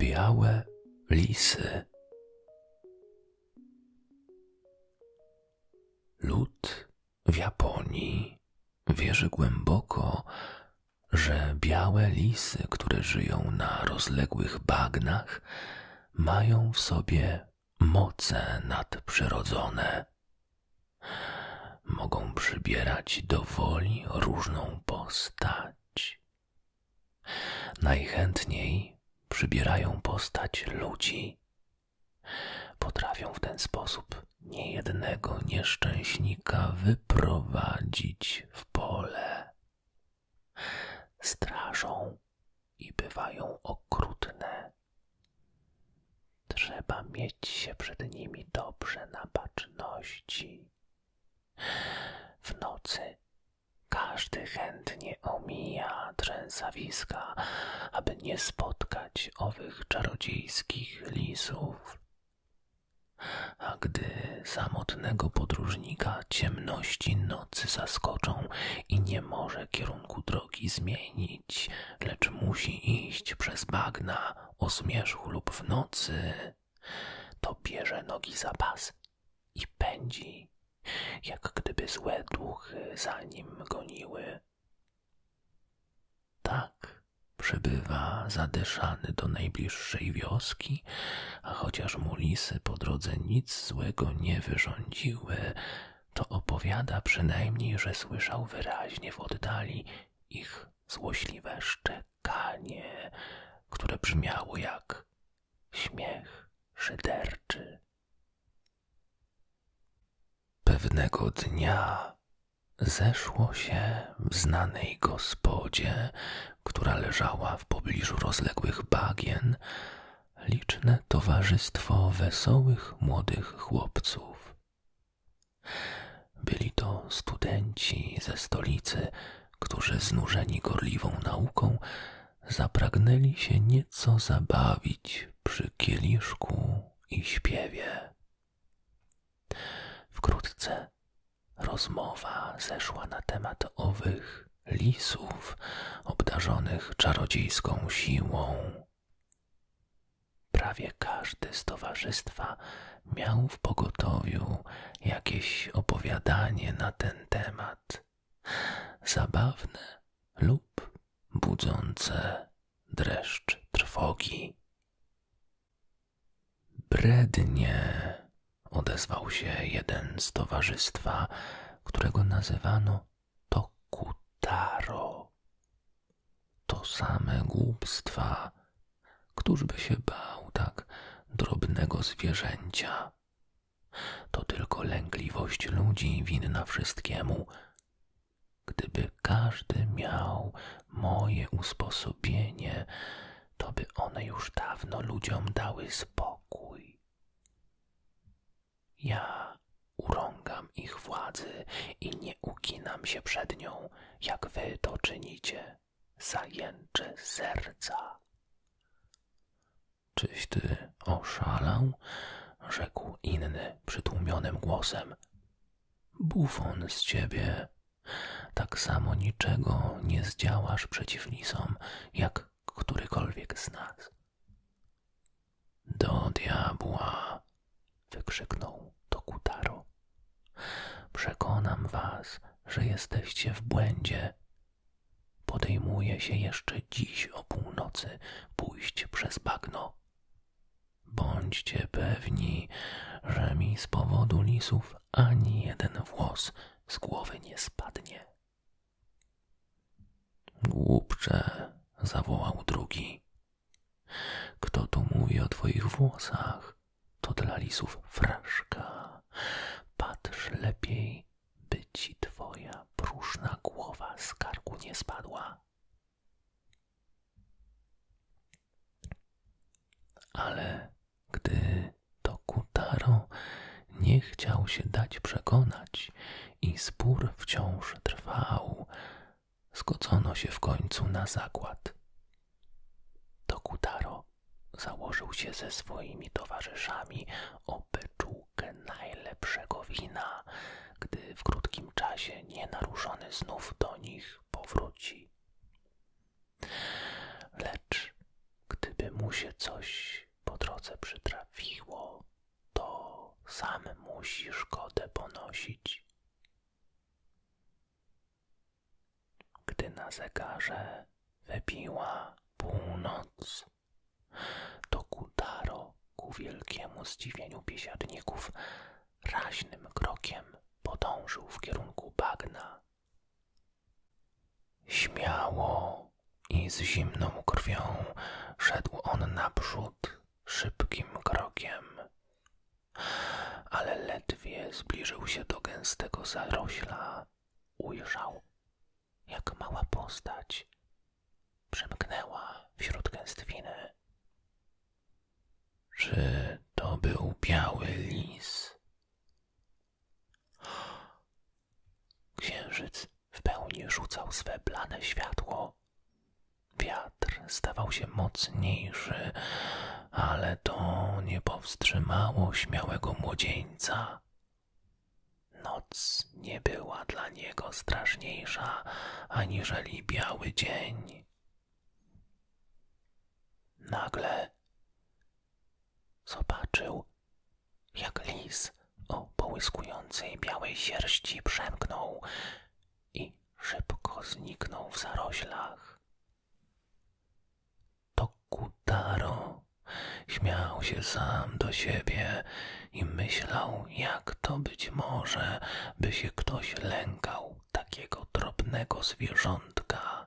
Białe lisy. Lud w Japonii wierzy głęboko, że białe lisy, które żyją na rozległych bagnach, mają w sobie moce nadprzyrodzone mogą przybierać do woli różną postać. Najchętniej przybierają postać ludzi. Potrafią w ten sposób niejednego nieszczęśnika wyprowadzić w pole. Strażą i bywają okrutne. Trzeba mieć się przed nimi dobrze na baczności. W nocy każdy chętnie omija trzęsawiska, aby nie spotkać owych czarodziejskich lisów. A gdy samotnego podróżnika ciemności nocy zaskoczą i nie może kierunku drogi zmienić, lecz musi iść przez bagna o zmierzchu lub w nocy, to bierze nogi za pas i pędzi, jak gdyby złe duchy za nim goniły. Tak przybywa zadyszany do najbliższej wioski, a chociaż mu lisy po drodze nic złego nie wyrządziły, to opowiada przynajmniej, że słyszał wyraźnie w oddali ich złośliwe szczekanie, które brzmiało jak śmiech szyderczy. Pewnego dnia zeszło się w znanej gospodzie, która leżała w pobliżu rozległych bagien, liczne towarzystwo wesołych młodych chłopców. Byli to studenci ze stolicy, którzy znużeni gorliwą nauką zapragnęli się nieco zabawić przy kieliszku i śpiewie. Wkrótce rozmowa zeszła na temat owych lisów obdarzonych czarodziejską siłą. Prawie każdy z towarzystwa miał w pogotowiu jakieś opowiadanie na ten temat, zabawne lub budzące dreszcz trwogi. Brednie, odezwał się jeden z towarzystwa, którego nazywano to kutaro, To same głupstwa. ktoż by się bał tak drobnego zwierzęcia? To tylko lękliwość ludzi winna wszystkiemu. Gdyby każdy miał moje usposobienie, to by one już dawno ludziom dały spokój. Ja urągam ich władzy i nie uginam się przed nią, jak wy to czynicie, zajęcze serca. Czyś ty oszalał? rzekł inny przytłumionym głosem. Bufon z ciebie. Tak samo niczego nie zdziałasz przeciw lisom, jak którykolwiek z nas. Do diabła! wykrzyknął Tokutaro. Przekonam was, że jesteście w błędzie. Podejmuje się jeszcze dziś o północy pójść przez bagno. Bądźcie pewni, że mi z powodu lisów ani jeden włos z głowy nie spadnie. Głupcze, zawołał drugi. Kto tu mówi o twoich włosach? To dla lisów fraszka. Patrz lepiej, by ci twoja próżna głowa z karku nie spadła. Ale gdy to kutaro nie chciał się dać przekonać i spór wciąż trwał. Zgodzono się w końcu na zakład. Tokutaro założył się ze swoimi towarzyszami o beczułkę najlepszego wina, gdy w krótkim czasie nienaruszony znów do nich powróci. Lecz gdyby mu się coś po drodze przytrafiło, to sam musisz szkodę ponosić. Gdy na zegarze wybiła północ, to Kutaro ku wielkiemu zdziwieniu biesiadników raźnym krokiem podążył w kierunku bagna. Śmiało, i z zimną krwią szedł on naprzód szybkim krokiem. Ale ledwie zbliżył się do gęstego zarośla, ujrzał, jak mała postać przemknęła wśród gęstwiny. Czy to był biały lis? Księżyc w pełni rzucał swe blade światło. Wiatr stawał się mocniejszy, ale to nie powstrzymało śmiałego młodzieńca. Noc nie była dla niego straszniejsza aniżeli biały dzień. Nagle zobaczył, jak lis o połyskującej białej sierści przemknął i szybko zniknął w zaroślach. Tokutaro śmiał się sam do siebie i myślał, jak to być może, by się ktoś lękał takiego drobnego zwierzątka.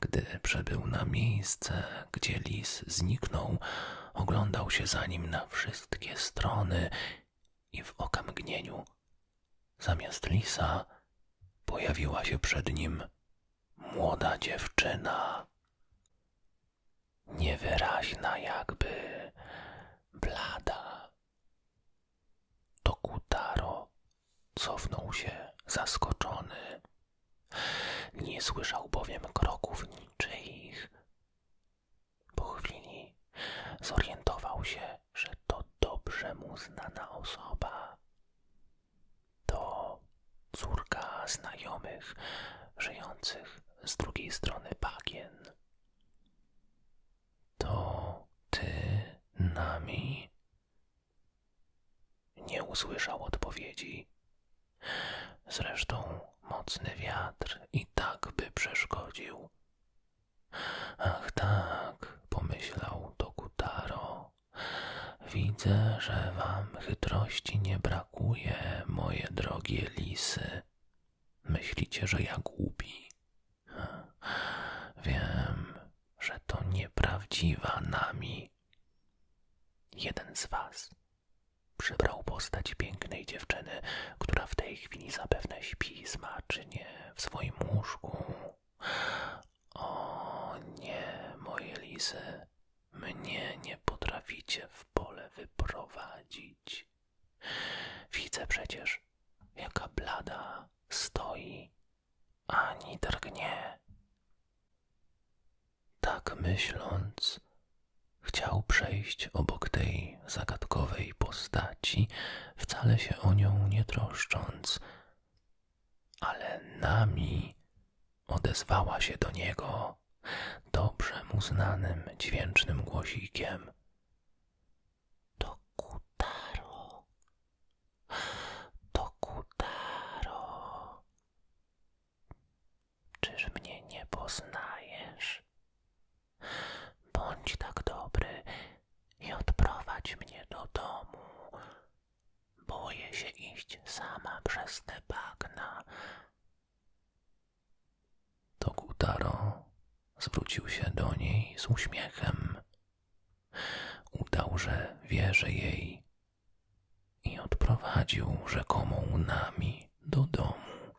Gdy przebył na miejsce, gdzie lis zniknął, oglądał się za nim na wszystkie strony i w okamgnieniu zamiast lisa pojawiła się przed nim młoda dziewczyna. Niewyraźna jakby, blada. Tokutaro cofnął się zaskoczony. Nie słyszał bowiem kroków niczyich. Po chwili zorientował się, że to dobrze mu znana osoba. To córka znajomych żyjących z drugiej strony bagien. To ty nami? Nie usłyszał odpowiedzi. Zresztą mocny wiatr i tak by przeszkodził. Ach tak, pomyślał Tokutaro. Widzę, że wam chytrości nie brakuje, moje drogie lisy. Myślicie, że ja głupi? Hm, wiem, że to nieprawdziwa nami. Jeden z was Przybrał postać pięknej dziewczyny, która w tej chwili zapewne śpi nie w swoim łóżku. O nie, moje lisy, mnie nie potraficie w pole wyprowadzić. Widzę przecież, jaka blada stoi, ani drgnie. Tak myśląc, chciał przejść obok tej zagadkowej postaci, wcale się o nią nie troszcząc, ale nami odezwała się do niego dobrze mu znanym dźwięcznym głosikiem. To Kutaro. Czyż mnie nie poznajesz? Bądź tak dobry i odprowadź mnie do domu. Boję się iść sama przez te bagna. Tokutaro zwrócił się do niej z uśmiechem. Udał, że wierzy jej i odprowadził rzekomą nami do domu.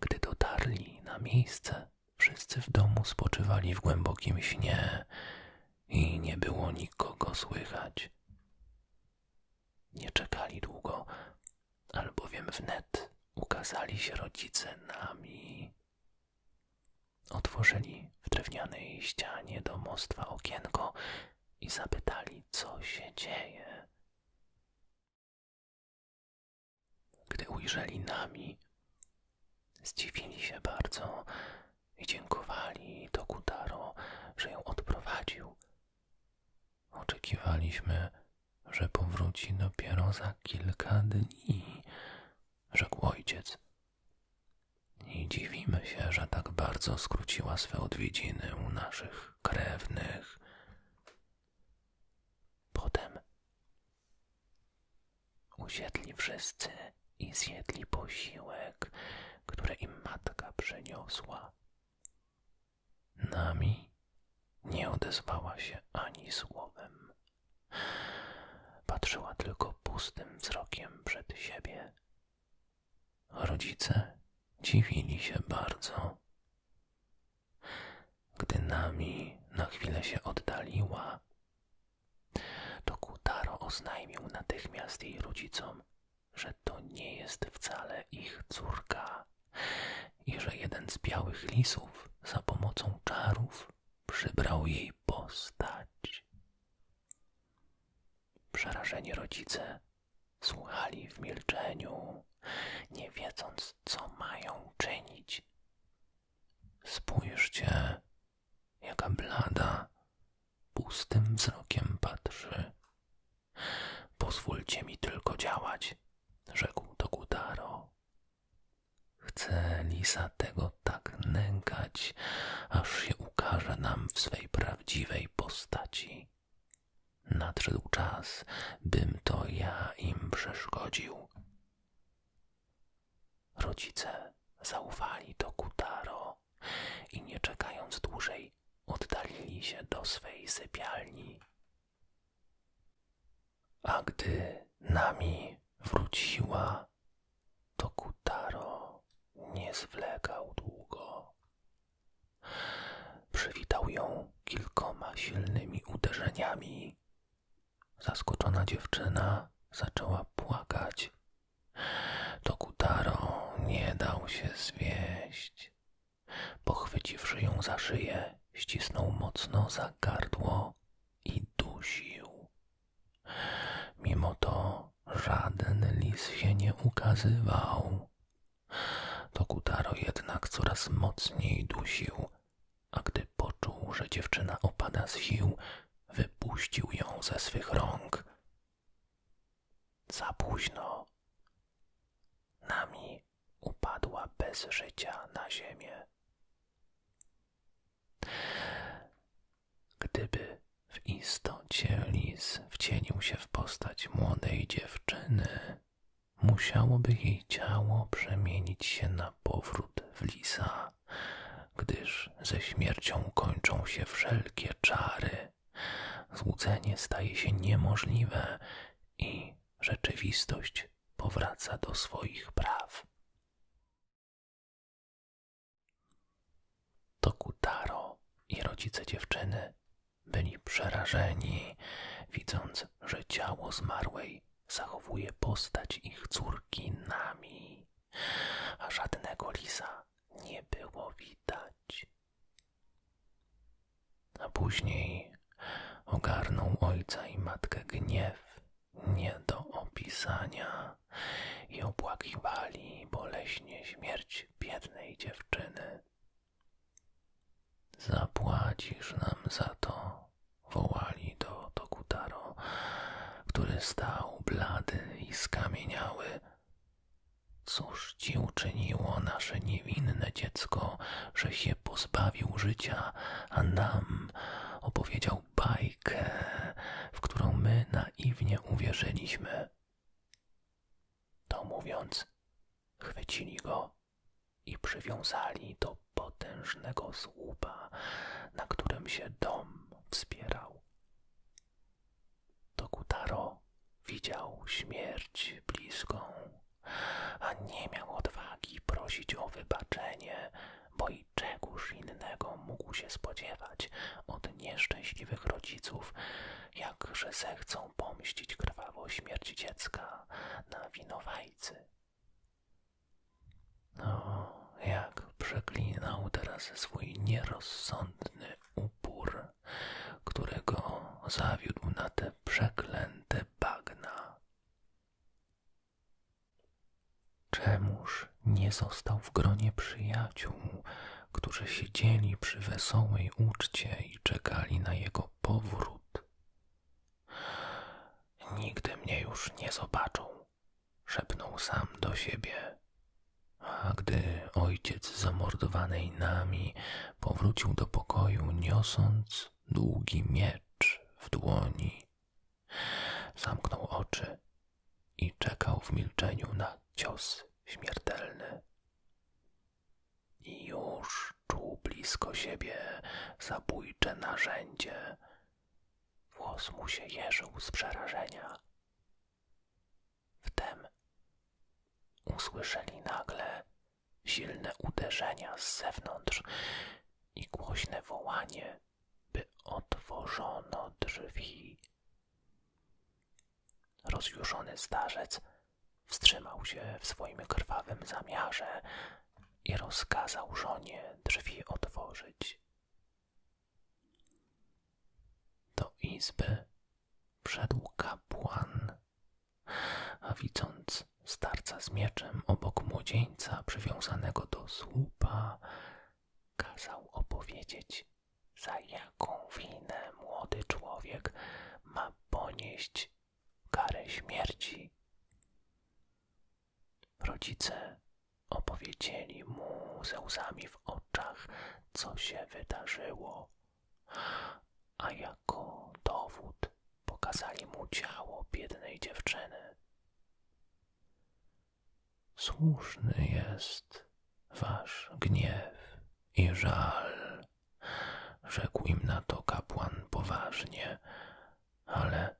Gdy dotarli na miejsce, wszyscy w domu spoczywali w głębokim śnie i nie było nikogo słychać. Nie czekali długo, albowiem wnet ukazali się rodzice nami. Otworzyli w drewnianej ścianie domostwa okienko i zapytali, co się dzieje. Gdy ujrzeli nami, zdziwili się bardzo i dziękowali Tokutaro, że ją odprowadził. Oczekiwaliśmy, że powróci dopiero za kilka dni, rzekł ojciec i dziwimy się, że tak bardzo skróciła swe odwiedziny u naszych krewnych. Potem usiedli wszyscy i zjedli posiłek, które im matka przyniosła. Nami nie odezwała się ani słowem. Patrzyła tylko pustym wzrokiem przed siebie Rodzice dziwili się bardzo. Gdy nami na chwilę się oddaliła, to Kutaro oznajmił natychmiast jej rodzicom, że to nie jest wcale ich córka i że jeden z białych lisów za pomocą czarów przybrał jej postać. Przerażeni rodzice słuchali w milczeniu, nie wiedząc, co mają czynić. Spójrzcie, jaka blada pustym wzrokiem patrzy. Pozwólcie mi tylko działać, rzekł do Gudaro. Chcę Lisa tego tak nękać, aż się ukaże nam w swej pracy w prawdziwej postaci. Nadszedł czas, bym to ja im przeszkodził. Rodzice zaufali do Kutaro i nie czekając dłużej, oddalili się do swej sypialni. A gdy nami wróciła, Tokutaro nie zwlekał długo. Przywitał ją kilkoma silnymi uderzeniami. Zaskoczona dziewczyna zaczęła płakać. Tokutaro nie dał się zwieść. Pochwyciwszy ją za szyję, ścisnął mocno za gardło i dusił. Mimo to żaden lis się nie ukazywał. Tokutaro jednak coraz mocniej dusił, a gdy poczuł, że dziewczyna opada z sił, wypuścił ją ze swych rąk. Za późno. Nami upadła bez życia na ziemię. Gdyby w istocie lis wcienił się w postać młodej dziewczyny, musiałoby jej ciało przemienić się na powrót w lisa, gdyż ze śmiercią kończą się wszelkie czary. Złudzenie staje się niemożliwe i rzeczywistość powraca do swoich praw. Tokutaro i rodzice dziewczyny byli przerażeni, widząc, że ciało zmarłej zachowuje postać ich córki Nami, a żadnego lisa nie było widać. A później ogarnął ojca i matkę gniew nie do opisania i opłakiwali boleśnie śmierć biednej dziewczyny. Zapłacisz nam za to, wołali do Tokutaro, który stał blady i skamieniały. Cóż ci uczyniło nasze niewinne dziecko, że się pozbawił życia, a nam opowiedział bajkę, w którą my naiwnie uwierzyliśmy? To mówiąc, chwycili go i przywiązali do potężnego słupa, na którym się dom wspierał. Tokutaro widział śmierć bliską, a nie miał odwagi prosić o wybaczenie, bo i czegoż innego mógł się spodziewać od nieszczęśliwych rodziców, jak że zechcą pomścić krwawą śmierć dziecka na winowajcy. No, jak przeklinał teraz swój nierozsądny upór, którego zawiódł na te przeklęte bagna. Czemuż nie został w gronie przyjaciół, którzy siedzieli przy wesołej uczcie i czekali na jego powrót. Nigdy mnie już nie zobaczą, szepnął sam do siebie. A gdy ojciec zamordowanej nami powrócił do pokoju, niosąc długi miecz w dłoni, zamknął oczy i czekał w milczeniu na cios śmiertelny. I już czuł blisko siebie zabójcze narzędzie. Włos mu się jeżył z przerażenia. Wtem usłyszeli nagle silne uderzenia z zewnątrz i głośne wołanie, by otworzono drzwi. Rozjuszony starzec wstrzymał się w swoim krwawym zamiarze i rozkazał żonie drzwi otworzyć. Do izby wszedł kapłan, a widząc starca z mieczem obok młodzieńca przywiązanego do słupa, kazał opowiedzieć za jaką winę młody człowiek ma ponieść karę śmierci. Rodzice opowiedzieli mu ze łzami w oczach, co się wydarzyło, a jako dowód pokazali mu ciało biednej dziewczyny. Słuszny jest wasz gniew i żal, rzekł im na to kapłan poważnie, ale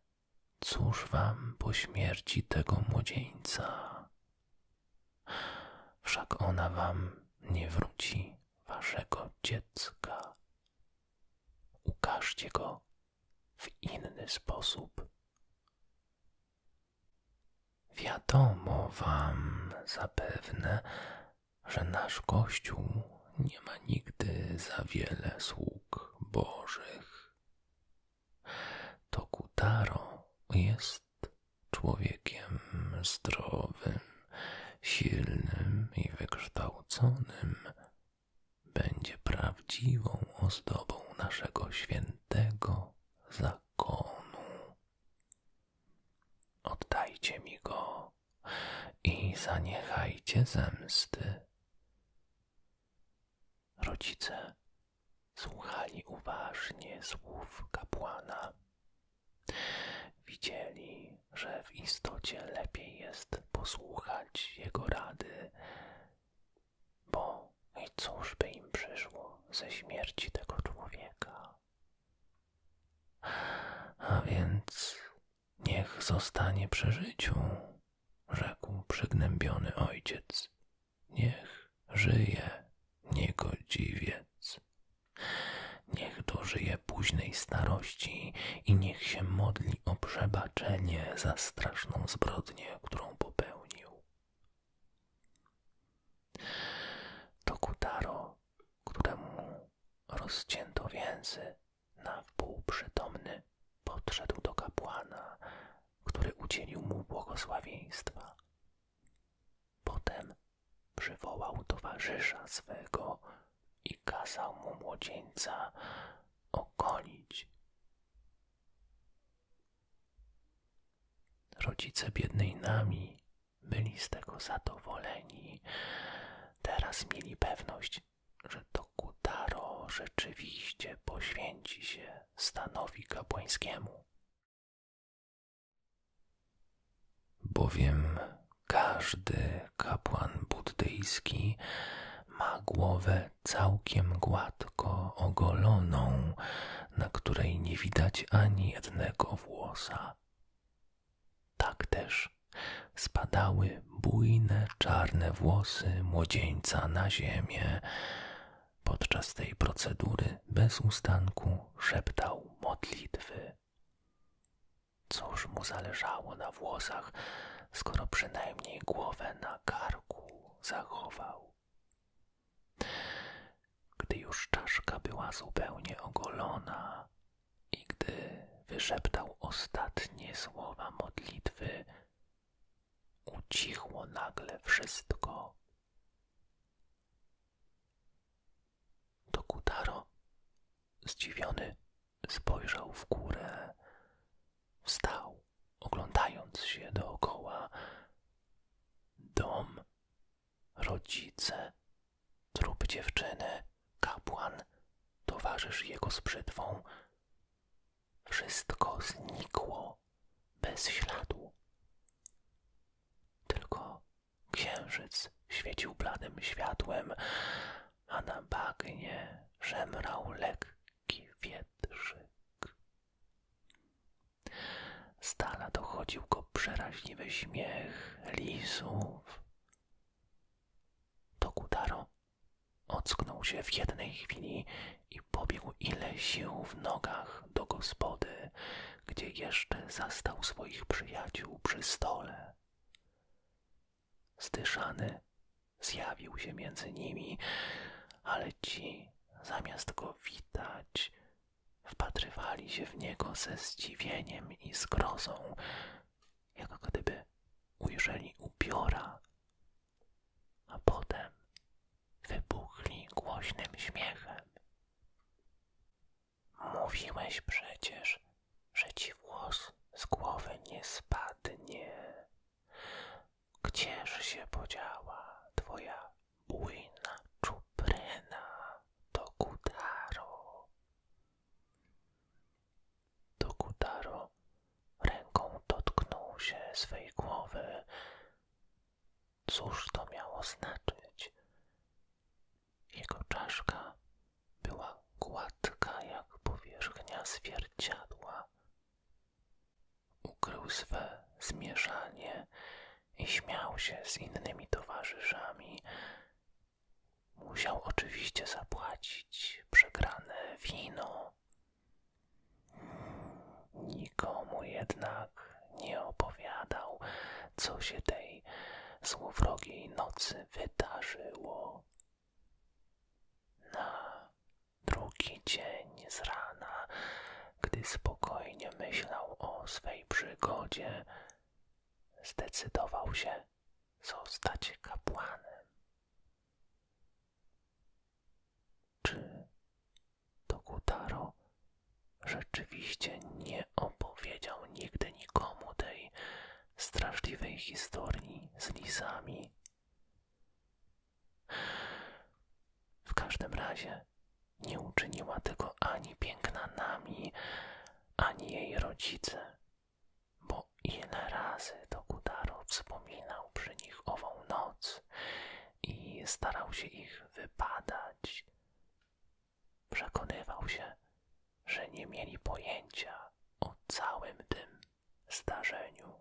cóż wam po śmierci tego młodzieńca? Wszak ona wam nie wróci waszego dziecka. Ukażcie go w inny sposób. Wiadomo wam zapewne, że nasz Kościół nie ma nigdy za wiele sług bożych. To Kutaro jest człowiekiem zdrowym, silnym i wykształconym. Będzie prawdziwą ozdobą naszego świętego zakonu. Oddajcie mi go i zaniechajcie zemsty. Rodzice słuchali uważnie słów kapłana. Widzieli, że w istocie lepiej jest posłuchać jego rady, bo no I cóż by im przyszło ze śmierci tego człowieka? A więc niech zostanie przy życiu, rzekł przygnębiony ojciec. Niech żyje niegodziwiec. Niech dożyje późnej starości i niech się modli o przebaczenie za straszną zbrodnię, którą popełnił. To Tokutaro, któremu rozcięto więzy na wpół przytomny, podszedł do kapłana, który udzielił mu błogosławieństwa. Potem przywołał towarzysza swego i kazał mu młodzieńca okolić. Rodzice biednej nami byli z tego zadowoleni. Teraz mieli pewność, że to Kutaro rzeczywiście poświęci się stanowi kapłańskiemu. Bowiem każdy kapłan buddyjski ma głowę całkiem gładką ogoloną, na której nie widać ani jednego włosa. Tak też spadały bujne czarne włosy młodzieńca na ziemię. Podczas tej procedury bez ustanku szeptał modlitwy. Cóż mu zależało na włosach, skoro przynajmniej głowę na karku zachował? Gdy już czaszka była zupełnie ogolona i gdy wyszeptał ostatnie słowa modlitwy, ucichło nagle wszystko. Tokutaro, zdziwiony, spojrzał w górę. Wstał, oglądając się dookoła. Dom rodzice, trup dziewczyny, kapłan, towarzysz jego z Wszystko znikło bez śladu. Tylko księżyc świecił bladym światłem, a na bagnie szemrał lekki wietrzyk. Z dochodził go przeraźliwy śmiech lisów. Tokudaro ocknął się w jednej chwili i pobiegł ile sił w nogach do gospody, gdzie jeszcze zastał swoich przyjaciół przy stole. Zdyszany zjawił się między nimi, ale ci, zamiast go witać, wpatrywali się w niego ze zdziwieniem i zgrozą, jak gdyby ujrzeli ubiora, a potem wybuchli głośnym śmiechem. Mówiłeś przecież, że ci włos z głowy nie spadnie. Gdzież się podziała twoja bujna czupryna do Kutaro. Do Kutaro ręką dotknął się swej głowy. Cóż to miało znaczyć? Jego czaszka była gładka jak powierzchnia zwierciadła ukrył swe zmieszanie i śmiał się z innymi towarzyszami. Musiał oczywiście zapłacić przegrane wino. Nikomu jednak nie opowiadał, co się tej złowrogiej nocy wydarzyło. Na drugi dzień z rana gdy spokojnie myślał o swej przygodzie, zdecydował się zostać kapłanem. Czy Tokutaro rzeczywiście nie opowiedział nigdy nikomu tej straszliwej historii z lisami? W każdym razie nie uczyniła tego ani piękna nami, ani jej rodzice, bo ile razy do Kudaro wspominał przy nich ową noc i starał się ich wypadać. Przekonywał się, że nie mieli pojęcia o całym tym zdarzeniu.